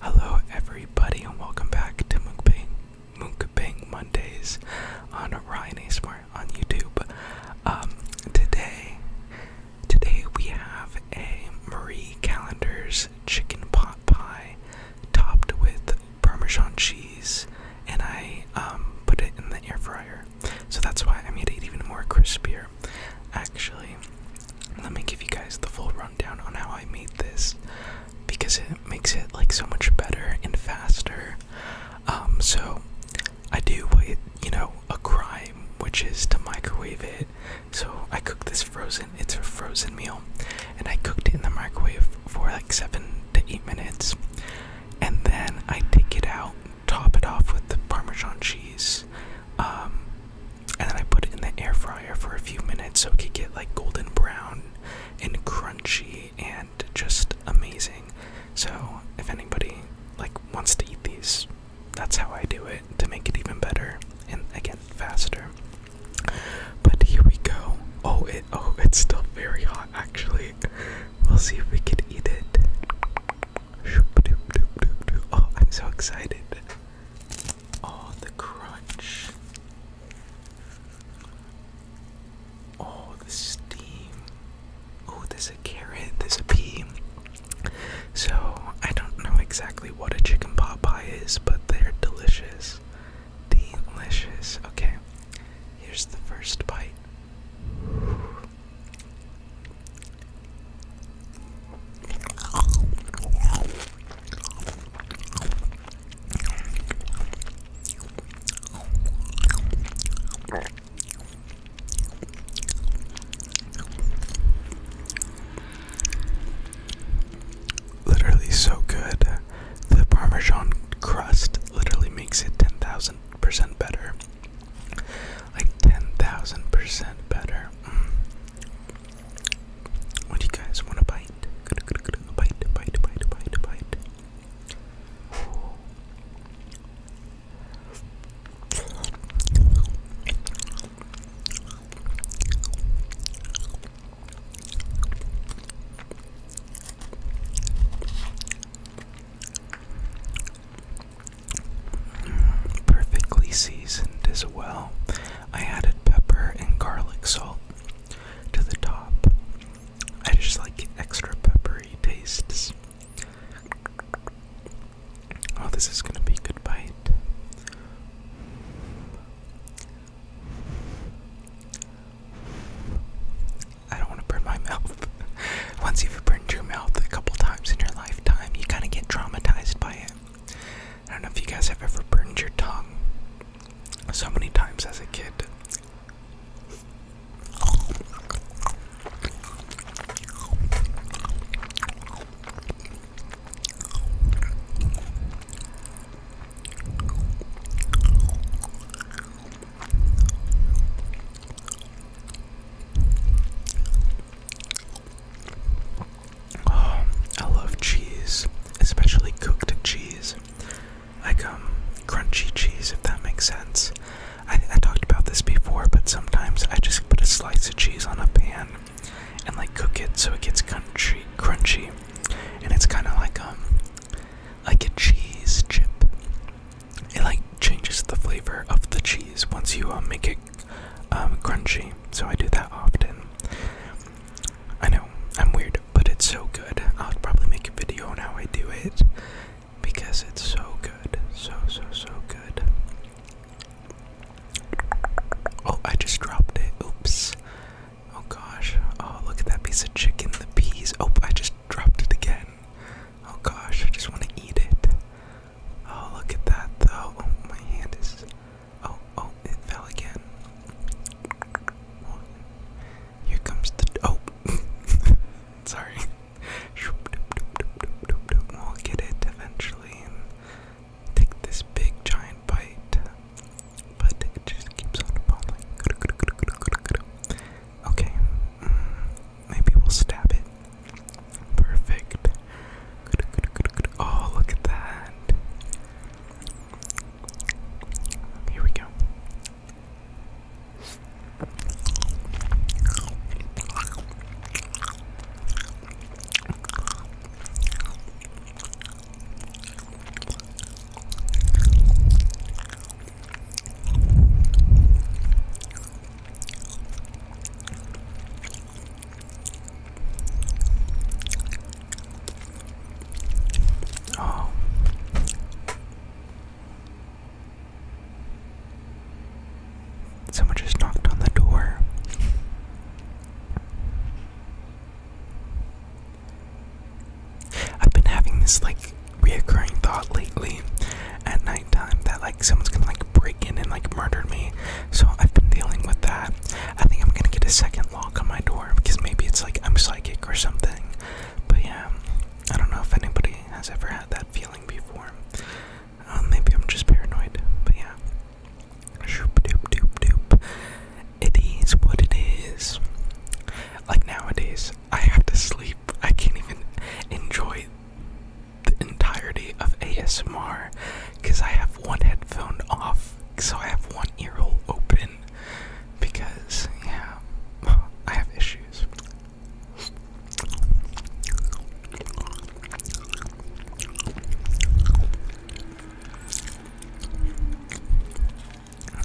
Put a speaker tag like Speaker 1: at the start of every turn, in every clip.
Speaker 1: Hello, everybody, and welcome back to Mukbang, Mukbang Mondays on Ryan Smart on YouTube. Um, today, today we have a Marie Callender's chicken pot pie topped with Parmesan cheese, and I um, put it in the air fryer. So that's why I made it even more crispier. Actually, let me give you guys the full rundown on how I made this because it makes it like so much better and faster. Um, so I do what you know a crime, which is to microwave it. So I cooked this frozen. It's a frozen meal, and I cooked it in the microwave for like seven to eight minutes, and then I take it out top it off with the Parmesan cheese, um, and then I put it in the air fryer for a few minutes so it could get like golden brown and crunchy and just amazing. So if anybody like wants to eat these, that's how I do it to make it even better and again faster. But here we go. Oh, it oh it's still very hot actually. We'll see if we can eat it. Oh, I'm so excited. Oh, the crunch. Oh, the steam. Oh, there's a carrot, there's a pea. So, I don't know exactly what a chicken pot pie is, but they're delicious. Delicious. Okay, here's the first bite. Literally so good. The Parmesan crust literally makes it 10,000% better like 10,000% better. Mm. Would you guys want a bite? A bite, bite, bite, bite, bite. Perfectly seasoned as well. I added pepper and garlic salt to the top. I just like extra peppery tastes. Oh, this is gonna be a good bite. I don't want to burn my mouth. Once you've burned your mouth a couple times in your lifetime, you kind of get traumatized by it. I don't know if you guys have ever burned your tongue so many times as a kid. Oh, I love cheese, especially cooked cheese. Like um crunchy cheese if that makes sense. I I talked about this before, but sometimes I just put a slice of cheese on a pan and like cook it so it gets crunchy crunchy. And it's kinda like um like a cheese chip it like changes the flavor of the cheese once you um, make it um, crunchy. So I do that often. I know I'm weird, but it's so good. I'll probably make a video on how I do it because it's so good, so so so good. Oh, I just dropped it. Oops. Oh gosh. Oh, look at that piece of chicken, the peas. Oh, I just dropped it again. Oh gosh, I just want to eat it. Oh, look at that though. Oh, my hand is. Oh, oh, it fell again. Here comes the. Oh! Sorry. We'll get it eventually and take this big giant bite. But it just keeps on falling. Okay. Maybe we'll stab it. Perfect. Oh, look at that. Here we go. Oh. Someone just knocked on the door. I've been having this like reoccurring thought lately at nighttime that like someone's gonna like break in and like murder me. So I've been dealing with that. I think I'm gonna get a second lock on my door because maybe it's like I'm psychic or something. But yeah, I don't know if anybody has ever had that feeling before. Um, maybe I'm just paranoid, but yeah. Shoop doop doop doop. It is what it is. Like nowadays, I have to sleep. I can't even enjoy the entirety of ASMR because I have one headphone off, so I have one earhole open because, yeah, I have issues.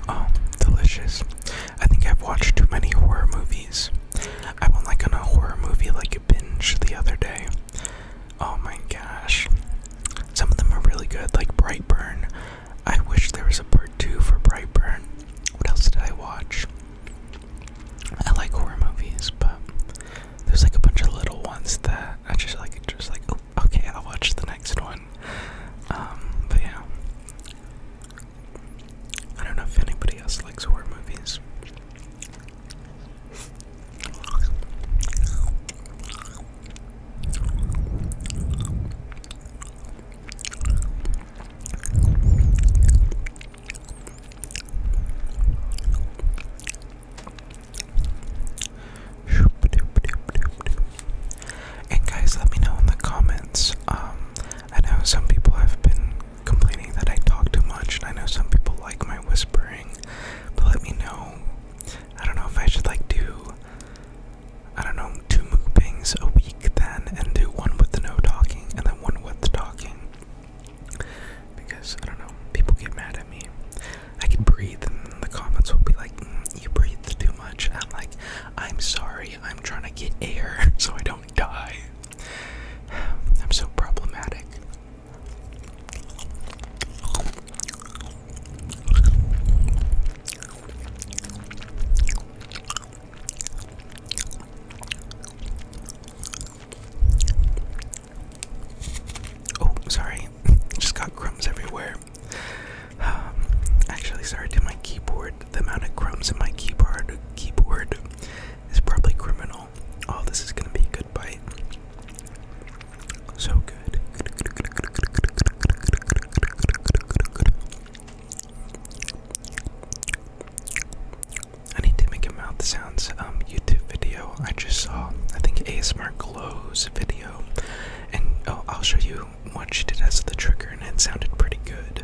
Speaker 1: Oh, delicious. I think I've watched too many horror movies. I went like on a horror movie like a binge the other day. Oh my gosh. Some of them are really good, like Brightburn. I wish there was a part two for Brightburn. What else did I watch? I like horror movies, but there's like a bunch of little ones that I just like just like oh okay, I'll watch the next one. Um, but yeah. I don't know if anybody else likes horror movies. And guys, let me know in the comments um, I know some people have been complaining that I talk too much, and I know some people like my whispering, but let me know. I don't know if I should like do, I don't know, two mukbangs a week then, and do one with the no talking, and then one with the talking. Because, I don't know, people get mad at me. I can breathe, and the comments will be like, mm, you breathe too much. I'm like, I'm sorry, I'm trying to get air so I don't die. I'm so problematic. Oh, sorry. Just got crumbs everywhere. Um, actually, sorry to my keyboard the amount of crumbs in my keyboard keyboard is probably criminal. Oh, this is gonna be a good bite. So good. I need to make a mouth sounds um, YouTube video. I just saw, I think ASMR Glow's video, and oh, I'll show you what she did as the trigger, and it sounded pretty good.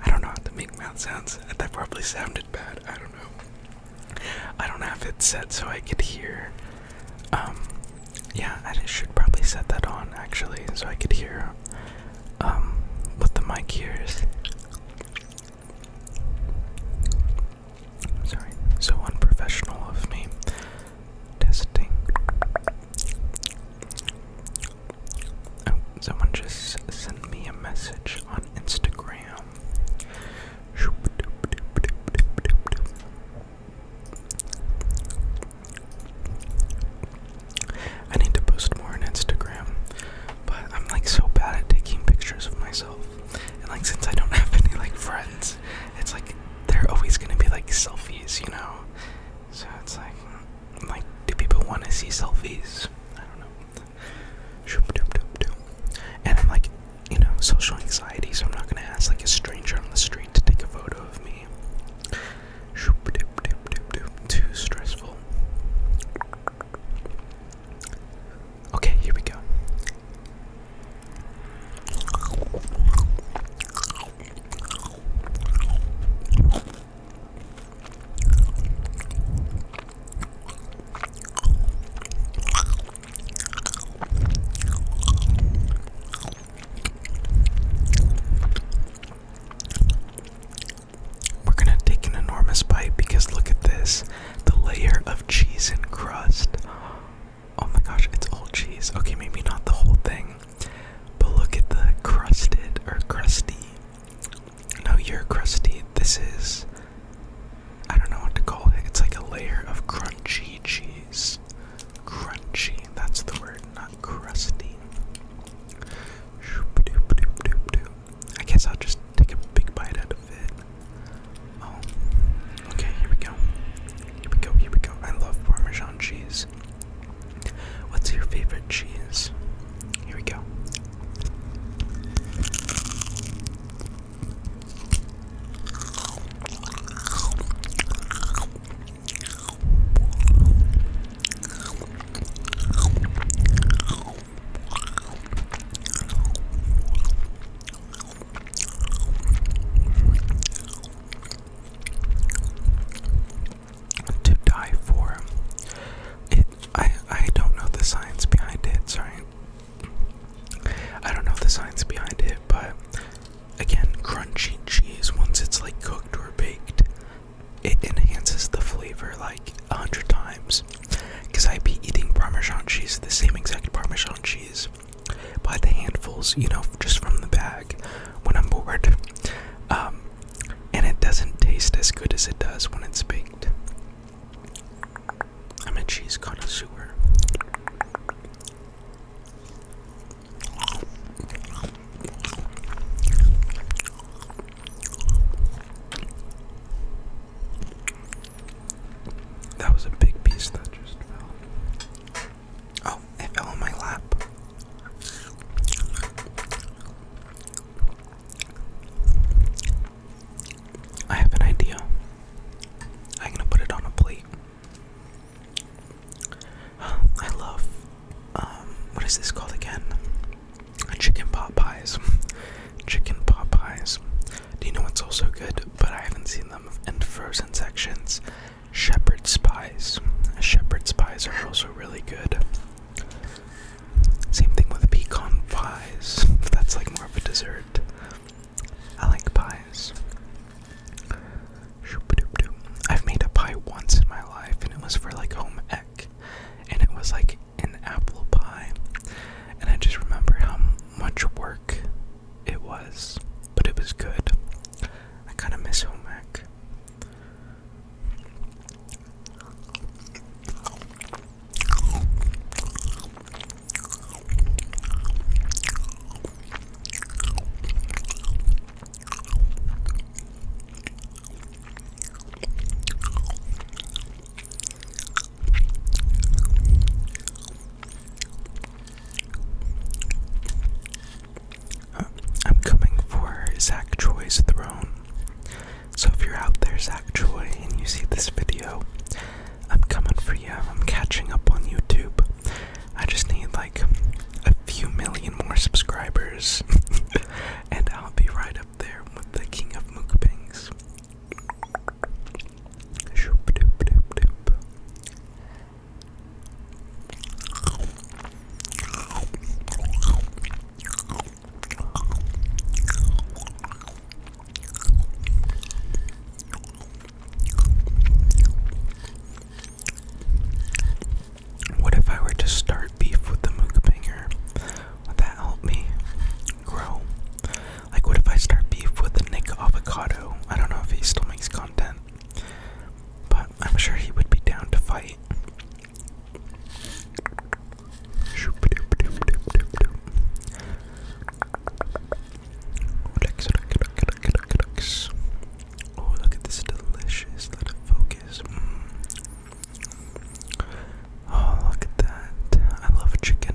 Speaker 1: I don't know how to make mouth sounds. That probably sounded bad. I don't know. I don't have it set so I could hear. Um, yeah, I should probably set that on actually, so I could hear um, what the mic hears. Sorry, so unprofessional of me. Testing. Oh, someone just sent me a message on Instagram. I need to post more on Instagram, but I'm like so bad at taking pictures of myself. And like since I don't have any like friends, it's like they're always gonna be like selfies, you know. So it's like, like, do people want to see selfies? I don't know. And I'm like, you know, social anxiety, so I'm not gonna ask like a stranger on the street to take a photo of me. Too stressful. Okay, here we go. We're going to take an enormous bite because look at this the layer of cheese and crust. Oh my gosh, it's all cheese. Okay, maybe not the whole thing. But look at the crusted or crusty. No, you're crusty. This is. I don't know what to call it. It's like a layer of crunchy cheese. Crunchy, that's the word, not crusty. I guess I'll just take a big bite out Oh, okay, here we go. Here we go, here we go. I love Parmesan cheese. What's your favorite cheese? Here we go to die for. I, I don't know the science behind it, sorry. I don't know the science behind it, but again, crunchy cheese, once it's like cooked or baked, it enhances the flavor like a hundred times. Because I'd be eating Parmesan cheese, the same exact Parmesan cheese, by the handfuls, you know, just from the bag when I'm bored. Um, and it doesn't taste as good as it does when it's baked. I'm a cheese connoisseur. That was a big piece that just fell. Oh, it fell on my lap. I have an idea. I'm gonna put it on a plate. I love, um, what is this called again? Chicken pot pies. Chicken pot pies. Do you know what's also good, but I haven't seen them in frozen sections? Shepherd's pies. Shepherd's pies are also really good. Same thing with pecan pies. That's like more of a dessert. I like pies. I've made a pie once in my life, and it was for like home ec, and it was like an apple pie and I just remember how much work it was, but it was good. I kind of miss home ec. Uh, I'm coming for Zach Troy's throne. So if you're out there, Zach Troy, and you see this video, I'm coming for you. I'm catching up on YouTube. I just need like a few million more subscribers, and I'll be right up there with the king of mukbangs. Shoop doop doop doop. What if I were to start beef with the mukbanger? Would that help me grow? Like, what if I start beef with Nick Avocado? I don't know if he still makes content, but I'm sure he would be down to fight. Relax, relax, relax, relax. Oh, look at this delicious little focus. Mm. Oh, look at that. I love chicken.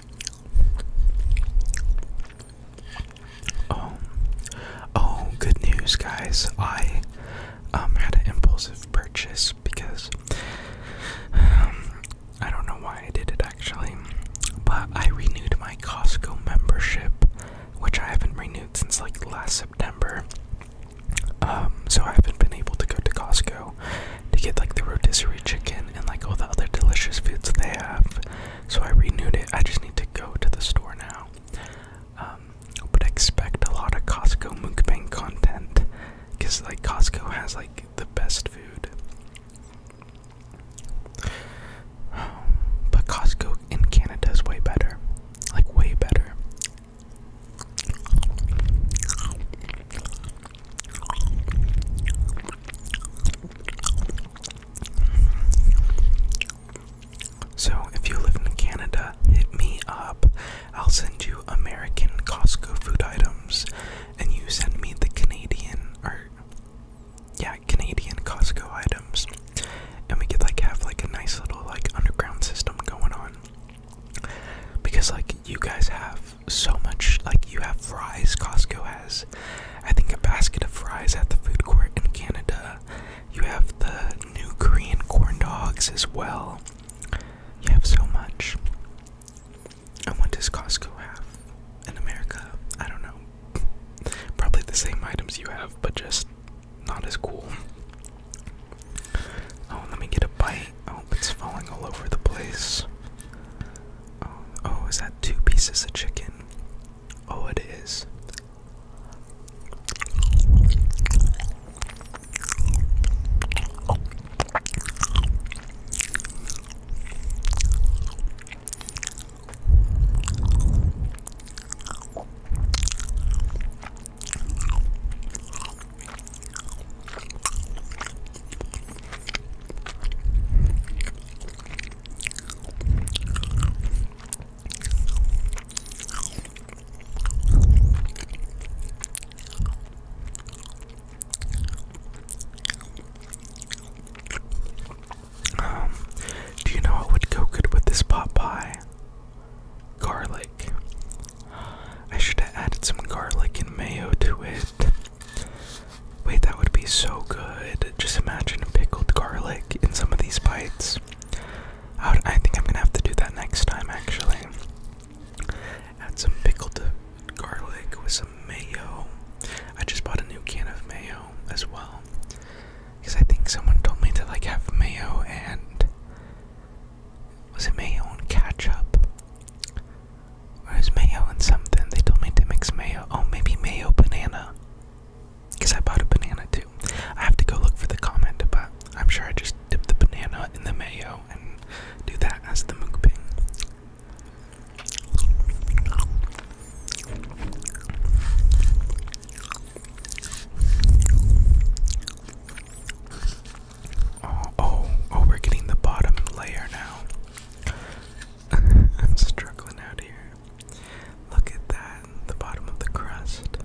Speaker 1: Oh, oh, good news, guys! I um had an impulsive purchase because um, I don't know why I did it actually, but I renewed my Costco membership, which I haven't renewed since like last September. Um, so I haven't been able to go to Costco to get like the rotisserie chicken and like all the other delicious foods they have. So I renewed it. I just need to go to the store now. but um, expect a lot of Costco mukbang content because like Costco has like the best food. But Costco in Canada is way better. Like, way better. So, if you live in Canada, hit me up. I'll send you American Costco food items, and you send me the Canadian, or yeah, Canadian Costco items, and we could like have like a nice little like underground system going on. Because like you guys have so much like you have fries. Costco has, I think, a basket of fries at the food court in Canada. You have the new Korean corn dogs as well. You have so much. And what does Costco have in America? I don't know. Probably the same items you have, but just not as cool. Oh, let me get a bite. Oh, it's falling all over the place. Oh, oh, is that two pieces of chicken? Oh, it is. Um, do you know what would go good with this pot pie? Garlic. I should have added some garlic and mayo to it. Wait, that would be so good. Just imagine pickled garlic in some of these bites. I, think I'm gonna have to do that next time, actually. Add some pickled garlic with some mayo. I just bought a new can of mayo as well. Because I think someone told me to like have mayo and. Was it mayo and ketchup? Or is mayo and something? They told me to mix mayo. Oh, maybe mayo banana. Because I bought a banana too. I have to go look for the comment, but I'm sure I just dip the banana in the mayo and do that as the mukbang. Oh, oh, oh, we're getting the bottom layer now. I'm struggling out here. Look at that, the bottom of the crust.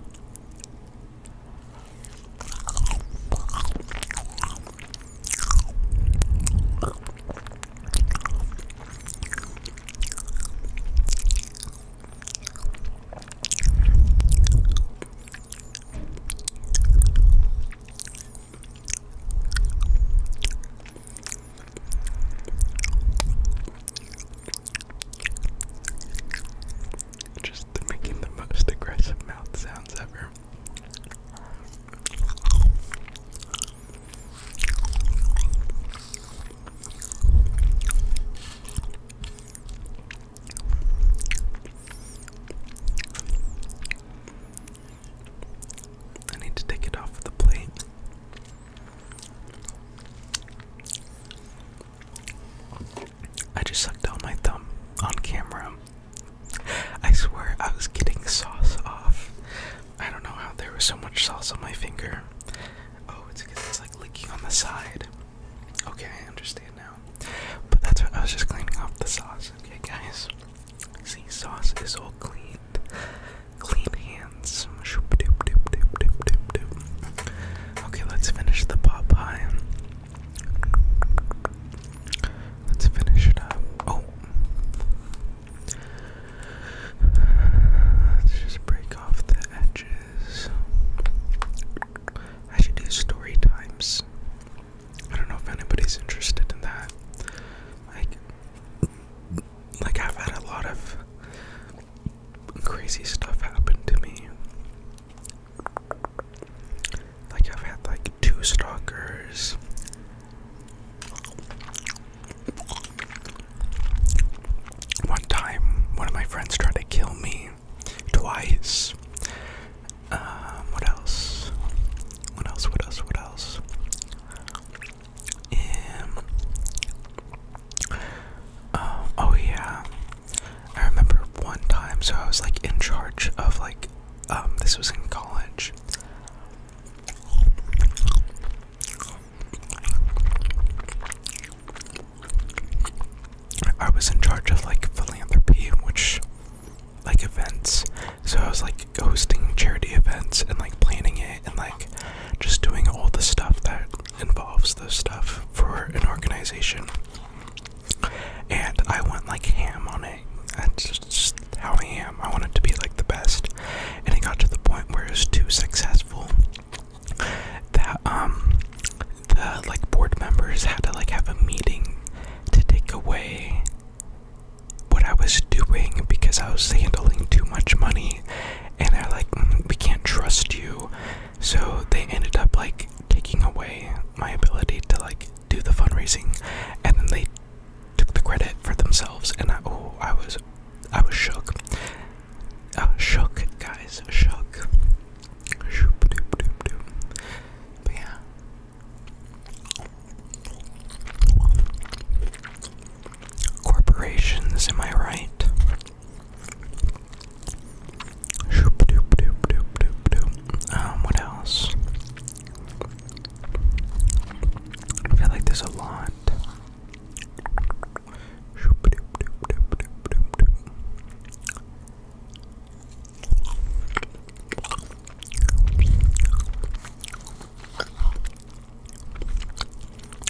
Speaker 1: Just making the most aggressive mouth sounds ever. I need to take it off the plate. I just sucked out my thumb on camera. I swear I was getting sauce off. I don't know how there was so much sauce on my finger. Oh, it's because it's like leaking on the side. Okay, I understand now. But that's what I was just cleaning off the sauce. Okay, guys. See, sauce is all clean. Clean hands. Okay, let's finish the pot pie. Let's finish it up. Oh. Let's just break off the edges. I should do story times. I don't know if anybody's interested in that. Like, like I've had a lot of crazy stuff happen to me. Like I've had like two stalkers. One time, one of my friends tried to kill me twice, um, what else? What else? What else? What else? Um, oh yeah, I remember one time. So I was like in charge of like, um, this was in college. I was in charge of like philanthropy, which like events. So I was like hosting charity events and like planning it and like just doing all the stuff that involves the stuff for an organization. And I went like ham on it. That's just, how I am. I wanted to be like the best. And it got to the point where it was too successful that um the like board members had to like have a meeting to take away what I was doing because I was handling too much money, and they're like, mm, we can't trust you. So they ended up like taking away my ability to like do the fundraising, and then they took the credit for themselves. And I, oh, I was, I was shook. I uh, was shook, guys, shook. But yeah, Corporations, am I right? Um, what else? I feel like there's a lot.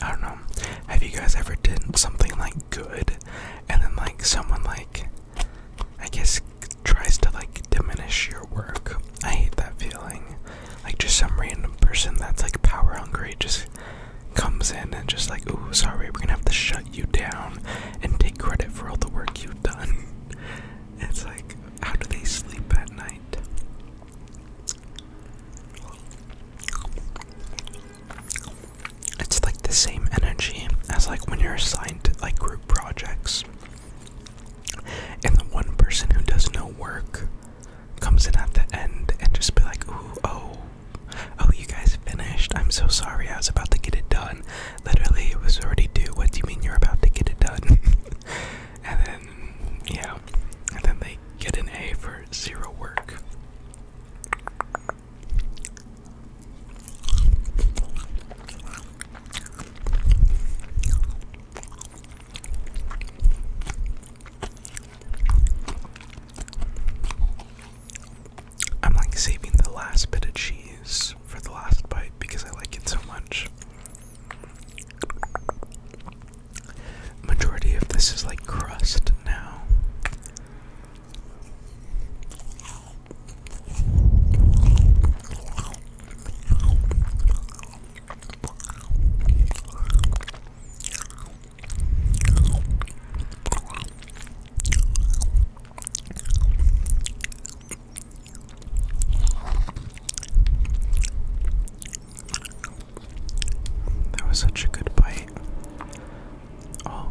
Speaker 1: I don't know. Have you guys ever done something like good and then like someone like I guess tries to like diminish your work? I hate that feeling. Like just some random person that's like power hungry just comes in and just like, "Ooh, sorry, we're going to have to shut you down and take credit for all the work you've done." It's like, how do they sleep at night? It's like the same energy as like when you're assigned like group projects. And the one person who does no work comes in at the end and just be like, ooh, oh, oh, you guys finished. I'm so sorry. I was about to get it done. Literally, it was already due. What do you mean you're about to get it done? and then, yeah, and then they get an A for zero work. I'm like saving the last bit of cheese for the last bite because I like it so much. Majority of this is like crust now. That was such a good bite. Oh.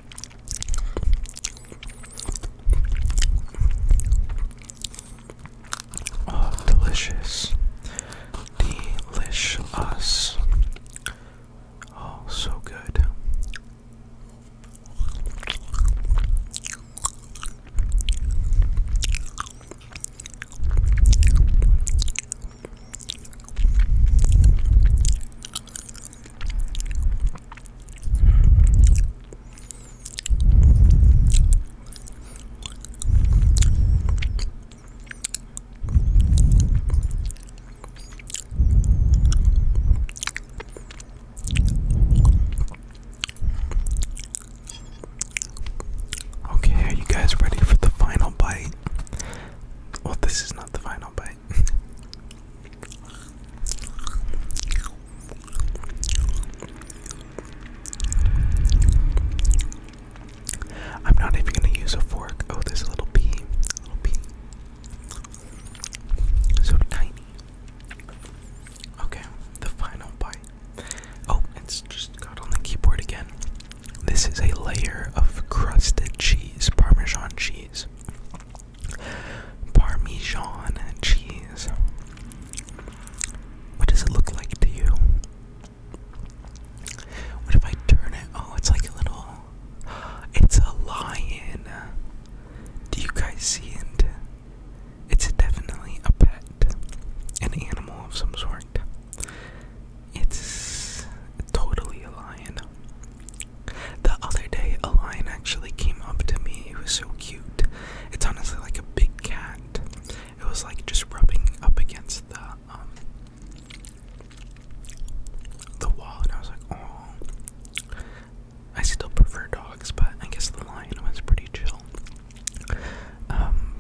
Speaker 1: Oh, delicious. Delicious. Oh, so good. Okay, are you guys ready for the final bite? Well, this is not the final bite. I'm not even gonna use a fork. Oh, there's a little bee. little bee. So tiny. Okay, the final bite. Oh, it's just got on the keyboard again. This is a layer of crusted cheese, Parmesan cheese. Parmesan cheese. What does it look like to you? What if I turn it? Oh, it's like a little. It's a lion. Do you guys see it? It's definitely a pet, an animal of some sort. It's totally a lion. The other day, a lion actually came up to me. It was so cute. It's honestly like a big cat. It was like just rubbing up against the um the wall, and I was like, oh. I still prefer dogs, but I guess the lion was pretty chill. Um,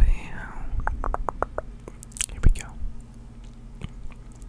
Speaker 1: Here we go.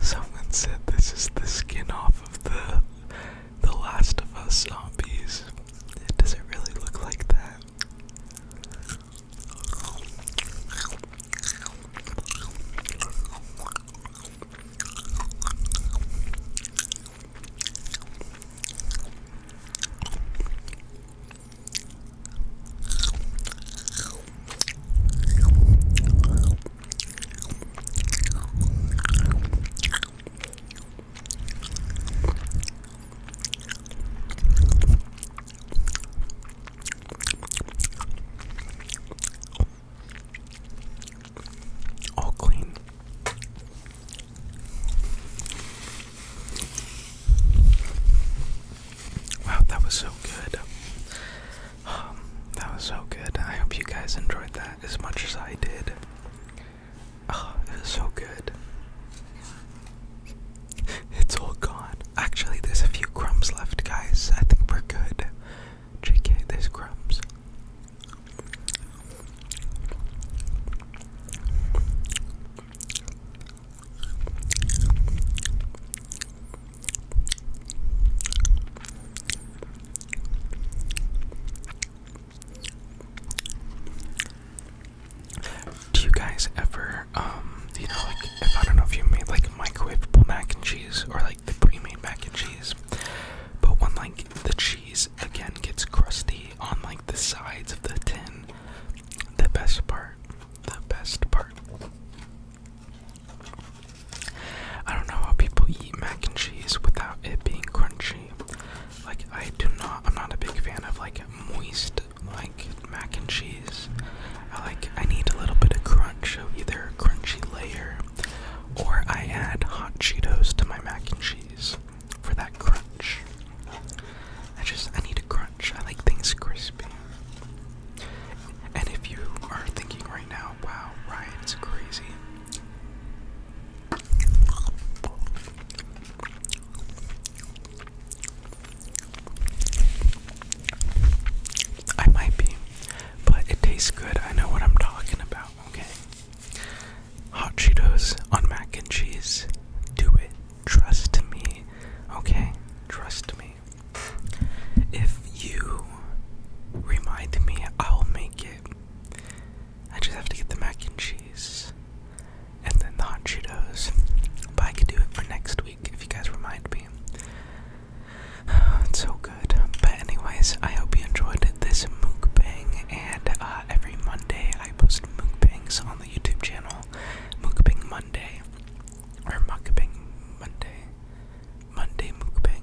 Speaker 1: Someone said this is the skin off of the The Last of Us zombies. It doesn't really look like that. All clean. Wow, that was so good. Um, that was so good. I hope you guys enjoyed that as much as I did. Oh, it was so good. It's all gone. Actually, there's a few crumbs left, guys. I think we're good. JK, there's crumbs. Do you guys ever, um, you know, like, if I don't know if you made like microwavable mac and cheese or like the pre-made mac and cheese, but when like the cheese again gets crusty on like the sides of the tin, the best part, the best part I don't know how people eat mac and cheese without it being crunchy. Like I do not I'm not a big fan of like moist like mac and cheese. I like I need a little bit of crunch, of either a crunchy layer or I add hot Cheetos to my mac and cheese for that crunch. I just I need a crunch. I like things crispy. And if you are thinking right now, wow, Ryan's crazy. I might be, but it tastes good. I know what I'm talking about, okay? Hot Cheetos on mac and cheese. Do it. Trust me, okay? Trust me. If you remind me, I'll make it. I just have to get the mac and cheese and then the hot Cheetos. But I could do it for next week if you guys remind me. It's so good. But, anyways, I hope you enjoyed this mukbang. And uh, every Monday, I post mukbangs on the YouTube channel Mukbang Monday. Or Mukbang Monday. Monday Mukbang.